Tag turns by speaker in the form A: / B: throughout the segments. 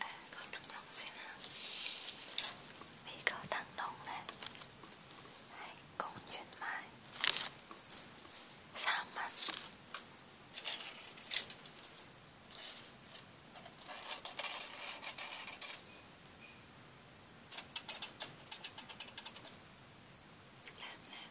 A: à, coi thằng Long xem nào Thì có thằng Long này Hãy cùng duyên mai Sao mặt Làm nào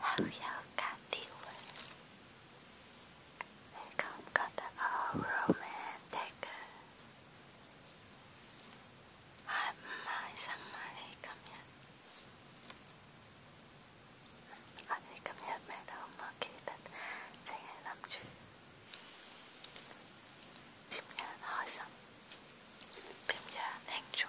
A: 后腰卡地位，你感觉得好 romantic 係唔係新買嚟今日？我哋今日咩都唔記得，淨係諗住點樣開心，點樣慶祝。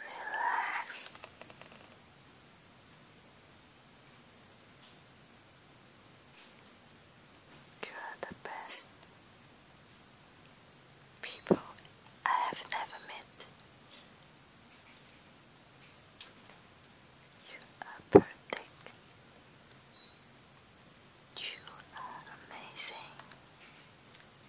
A: Relax. You are the best people I have never met. You are perfect. You are amazing.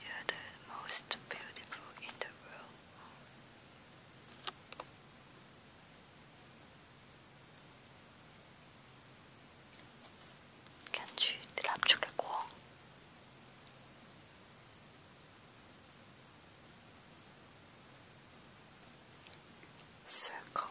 A: You are the most beautiful in the world. Can't you drop Circle.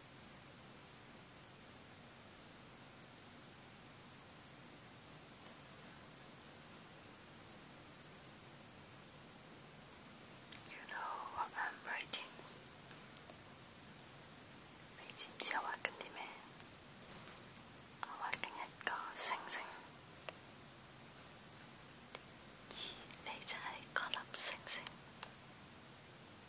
A: You know what I'm writing? 你知唔知我畫緊啲咩？我畫緊一個星星，而你就係嗰粒星星。